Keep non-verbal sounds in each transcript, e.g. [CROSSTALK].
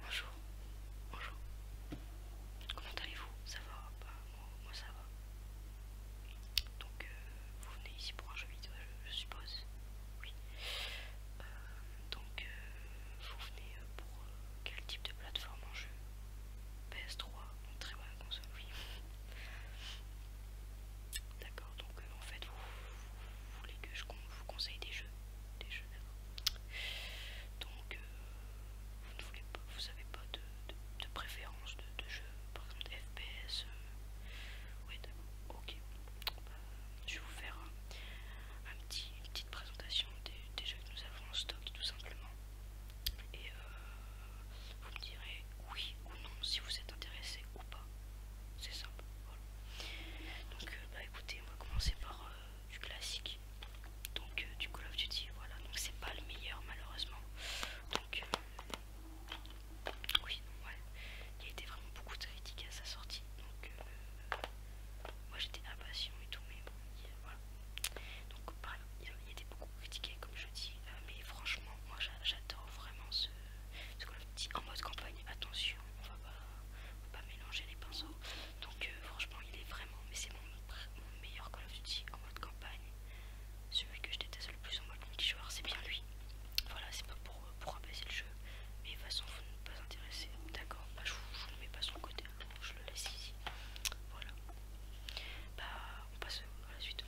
bonjour, bonjour. Comment allez-vous Ça va bah, moi, ça va. Donc, euh, vous venez ici pour un jeu vidéo, je, suppose. Oui. Euh, donc, euh, vous venez pour quel type de plateforme en jeu PS3, très bonne console, oui. D'accord, donc euh, en fait, vous, voulez que je vous conseille des jeux Des jeux, Donc, euh, vous ne pas, n'avez pas de, préférence de, de jeu, par exemple FPS euh, Oui, d'accord, ok. Bah, je vais vous faire un, petit, présentation des, jeux que nous avons en stock tout simplement. Et euh, vous me direz oui ou non si vous êtes intéressé ou pas. C'est simple. Donc euh, bah écoutez, on va commencer par euh, du classique. Donc du Call of Duty, voilà. Donc c'est pas le meilleur malheureusement. Donc oui, ouais. Il y a été vraiment beaucoup de critiques à sa sortie. Donc moi j'étais impatient et tout, mais bon, voilà. Donc il était beaucoup critiqué comme je dis, euh, mais franchement, moi j'adore vraiment ce, Call of Duty en mode campagne. Attention, on va pas, mélanger les pinceaux. Donc euh, franchement, il est vraiment, mais c'est mon, meilleur Call of Duty en mode campagne. Celui que je déteste le plus en mode mini-joueur, c'est bien lui. Voilà, c'est pas pour, pour le jeu, mais de toute façon, pas intéressé. D'accord, bah, je ne le mets pas sur le côté, hein. je le laisse ici. Voilà. Bah, on passe à la suite.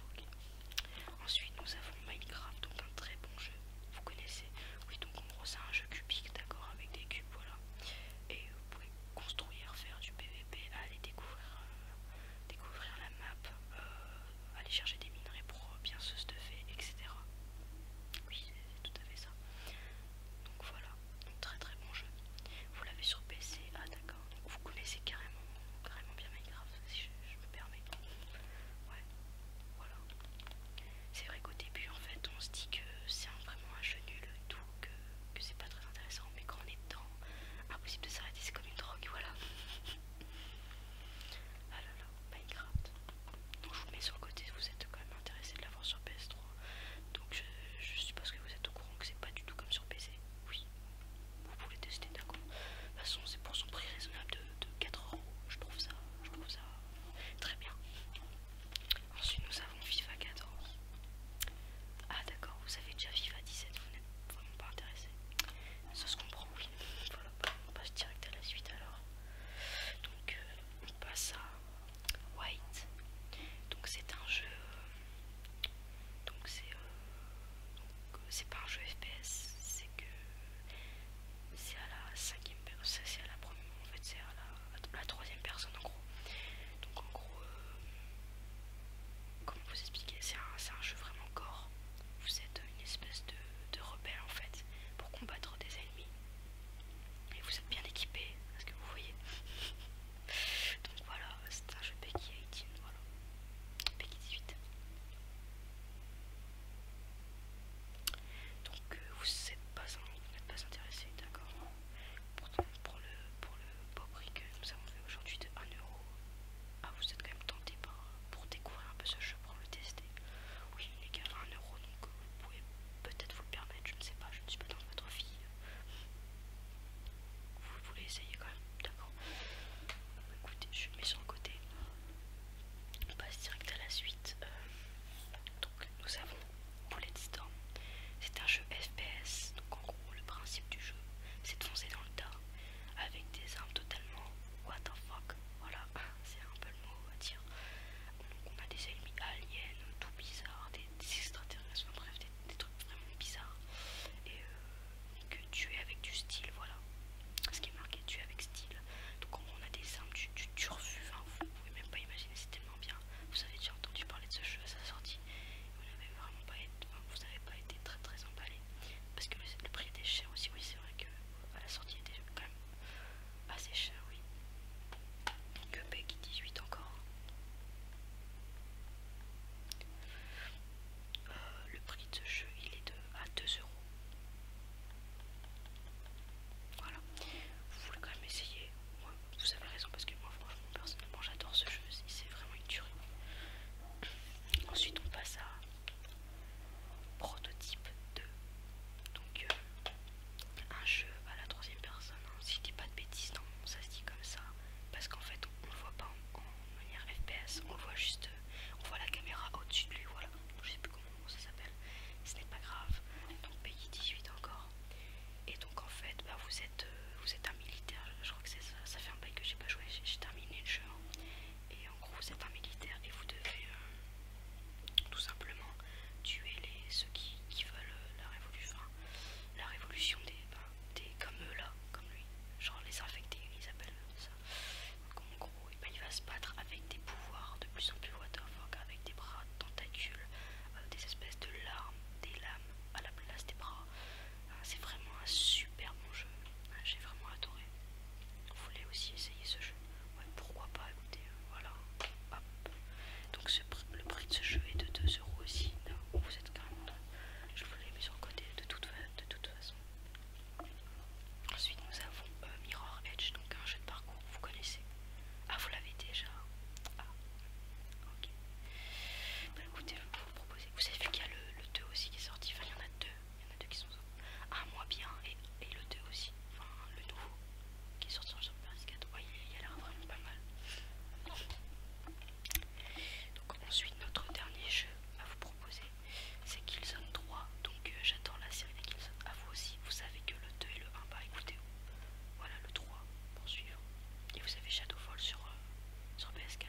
Ensuite, nous avons Minecraft, donc un très bon jeu. Vous connaissez Oui, donc en gros, c'est un jeu cubique, d'accord, avec des cubes, voilà. Et vous pouvez construire, faire du PVP, aller découvrir, euh, découvrir la map, euh, aller chercher des minerais pour bien se stuffer, etc tout à fait ça. Donc voilà, un très très bon jeu. Vous l'avez sur PC, ah d'accord, vous connaissez carrément, carrément bien Minecraft, si je, me permets. Ouais, voilà. C'est vrai qu'au début, en fait, on se dit que c'est vraiment un jeu nul et tout, que, c'est pas très intéressant, mais quand on est dedans, impossible de s'arrêter, c'est comme une drogue, voilà. Ah [LAUGHS] Minecraft. Donc je vous mets sur le côté, vous êtes quand même intéressé de l'avoir sur PS3. Donc je, suppose que vous êtes au courant que c'est pas du tout comme sur PC. Oui, vous pouvez tester, d'accord. De toute façon, c'est pour son prix raisonnable de, 4 euros. Je trouve ça, je trouve ça très bien. Ensuite, nous avons FIFA 14. Ah d'accord, vous avez déjà FIFA 17, vous n'êtes vraiment pas intéressé. Ça se comprend on passe direct à la suite alors. Donc euh, on passe à White. Donc c'est un jeu. Euh, euh, donc c'est pas un jeu FPS, c'est que c'est à la cinquième personne, c'est à la première, en fait c'est à la, troisième personne en gros. Donc en gros, comme comment vous expliquer, c'est un, un jeu vraiment corps vous êtes une espèce de, rebelle en fait pour combattre des ennemis et vous êtes bien équipé parce que vous voyez [LAUGHS] donc voilà c'est un jeu Peggy 18 voilà Peggy 18 donc euh, vous n'êtes pas, pas intéressé d'accord pour, le pour le beau prix que nous avons fait aujourd'hui de 1€ ah, vous êtes quand même tenté par, pour découvrir un peu ce jeu, pour le tester. Oui, il est à 1€ donc euh, vous pouvez peut-être vous le permettre, je ne sais pas, je ne suis pas dans votre fille. Vous voulez essayer quand même, d'accord bah, Écoutez, je mets sur le côté. On passe direct à la suite. Euh, donc, nous avons Storm. C'est un jeu FPS, donc en gros, le principe du jeu, c'est de foncer dans le tas avec des armes totalement what the fuck, voilà, ah, c'est un peu le mot à bah, dire. Donc on a des ennemis aliens, tout bizarre, des, extraterrestres, bref, des, trucs vraiment bizarres. Et euh, tu es avec du style, voilà. Ce qui est marqué, tuer avec style. Donc on, on a des armes tu tu vous ne vous pouvez même pas imaginer, c'est tellement bien. Vous avez déjà entendu parler de ce jeu à sa sortie. Vous n'avez vraiment pas été, vous n'avez pas été très très emballé parce que le, prix était cher aussi oui c'est vrai que à la sortie il était quand même assez cher oui que 18 encore euh, le prix de ce jeu il est de à 2 euros voilà vous voulez quand même essayer vous avez raison parce que moi franchement personnellement j'adore ce jeu c'est vraiment une tuerie ensuite on passe à Prototype 2. Donc euh, un jeu à la troisième personne. Hein. Si je dis pas de bêtises, non, ça se dit comme ça. Parce qu'en fait on le voit pas en, manière FPS, on voit juste, euh, on voit la caméra au-dessus de lui, voilà. Je sais plus comment ça s'appelle, ce n'est pas grave. Donc pays 18 encore. Et donc en fait bah, vous êtes euh, vous êtes militaire, je, crois que ça, ça fait un bail que j'ai pas joué, j'ai terminé le jeu. Hein. Et en gros, vous êtes un militaire et vous devez euh, tout simplement tuer les, ceux qui, veulent euh, la révolution, la révolution ben, des, comme eux là, comme lui, genre les infectés, ils appellent ça. Donc, en gros, eh ben, il va se battre avec des pouvoirs de plus en plus what avec des bras, tentacules, euh, des espèces de larmes, des lames à la place des bras. Ah, c'est vraiment un super bon jeu. Ah, j'ai vraiment adoré. Vous voulez aussi essayer ce jeu Ouais, pourquoi pas Écoutez, euh, voilà. Donc le prix de ce jeu est de euros aussi. vous êtes carrément. Je vous l'ai mis sur le côté de toute, de toute façon. Ensuite, nous avons euh, Mirror Edge, donc un jeu de parcours. Vous connaissez Ah, vous l'avez déjà Ah, ok. Bah, écoutez, je vais vous proposer vous avez vu qu'il y a le, 2 aussi qui est sorti, enfin il y en a deux, il y en a deux qui sont un ah, moins bien et, le 2 aussi, enfin le nouveau qui est sorti sur PS4, il, y a l'air vraiment pas mal. Donc ensuite notre dernier jeu à vous proposer c'est Killzone 3, donc euh, j'attends la série de Killzone à vous aussi, vous savez que le 2 et le 1, bah écoutez, voilà le 3 pour suivre, et vous avez Shadowfall sur, euh, sur PS4.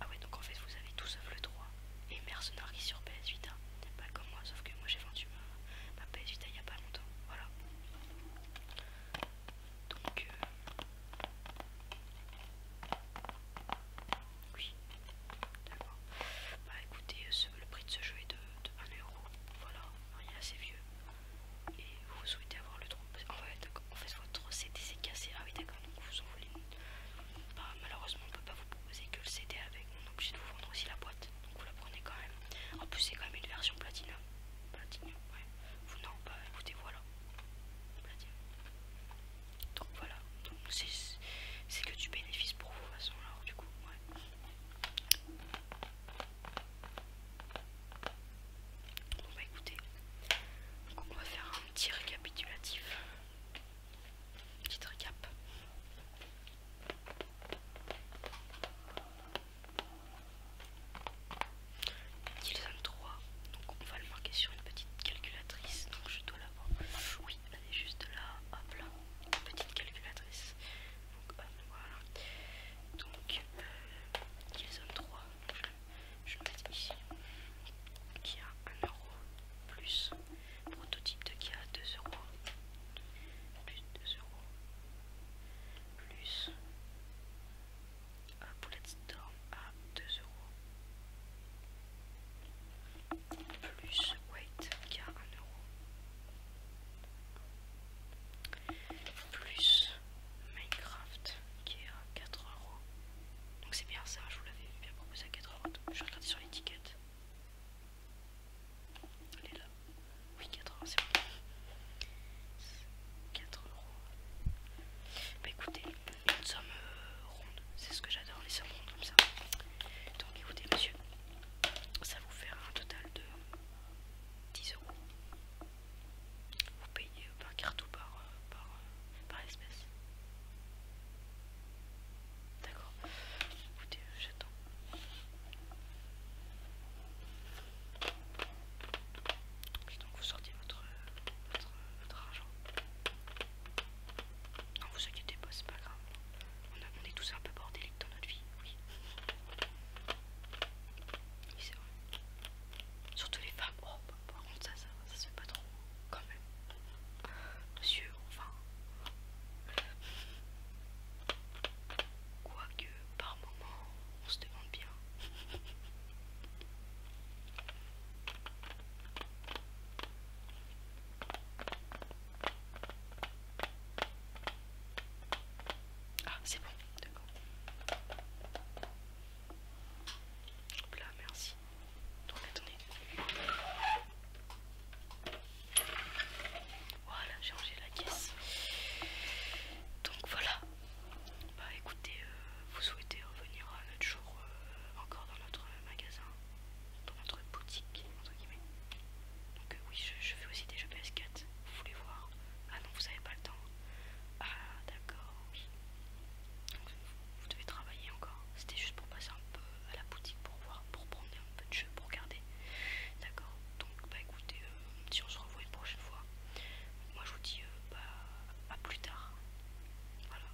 Ah ouais, donc en fait, vous avez tout sauf le 3 et Mercenary sur PS 8 hein. Pas comme moi, sauf que moi j'ai vendu ma, PS 8 il y a pas longtemps. Voilà. Donc, euh... oui, d'accord. Bah écoutez, le prix de ce jeu est de, de 1€. Voilà, il est assez vieux et vous souhaitez avoir le trou. En fait, en fait votre CD s'est cassé. Ah oui, d'accord, donc vous en voulez une. Bah, malheureusement, on ne peut pas vous proposer que le CD avec. On est obligé de vous vendre aussi la boîte. Donc vous la prenez quand même. En plus, c'est quand même une version platinum. Platinum, ouais. Vous n'en... bah écoutez, voilà. Platine. Donc voilà. Donc c'est que du bénéfice pour vous, de façon. Alors, du coup, ouais. On va bah, écouter. on va faire un petit récapitulatif. Petit récap. 3, donc on va le marquer sur une petite calculatrice, donc je dois l'avoir. Oui, elle est juste là, hop là, petite calculatrice. Donc liaison euh, 3. Je vais mettre ici. Qui a 1€ plus prototype de qui a 2€, Plus 2€, Plus uh, Bullet Storm à 2€, Plus Wait qui a 1€ plus Minecraft qui est à 4 euros. Donc c'est bien ça, je vous l'avais bien proposé à 4 euros. Je regarder sur l'étiquette. Elle est là. Oui, 4 euros, c'est bon. 4 euros. Bah écoutez, une somme euh, ronde, c'est ce que j'adore, les sommes rondes comme ça. Donc écoutez, monsieur, ça vous fait un total de 10 euros. Vous payez par carte ou par, euh, euh, par, espèce. D'accord. Écoutez, euh, j'attends. Donc vous sortez votre, votre, votre argent. Non, vous inquiétez pas, c'est pas grave on, est tous un peu bordéliques dans notre vie, oui. c'est Surtout les femmes. Oh, bah, par contre, ça, ça, se fait pas trop, quand même. Monsieur, enfin. Quoique, par moment, on se demande bien. Ah, c'est bon, d'accord. Hop là, merci. Donc, attendez. Voilà, j'ai rangé la caisse. Donc voilà. Bah écoutez, euh, vous souhaitez revenir un autre jour euh, encore dans notre magasin dans notre boutique entre guillemets. Donc euh, oui, je, fais aussi des jeux PS4. Vous voulez voir Ah non, vous avez pas le temps. Ah d'accord, vous devez travailler encore. C'était juste pour passer un peu à la boutique pour voir, pour prendre un peu de jeu, pour regarder. D'accord. Donc bah écoutez, euh, si on se revoit une prochaine fois, moi je vous dis euh, bah à plus tard. Voilà.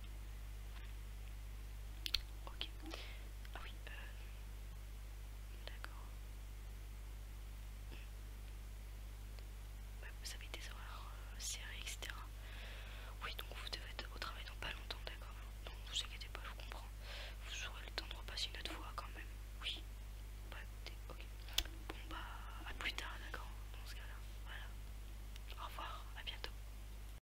Ok. Ah oui. D'accord. Bah, vous avez des horaires euh, serrés, etc. Oui, donc vous devez être au travail dans pas longtemps, d'accord Donc vous inquiétez pas, je vous comprends. Vous aurez le temps de repasser une autre fois quand même. Oui. Bah, bon, bah, à plus tard, d'accord Dans ce cas-là. Voilà. Au revoir, à bientôt.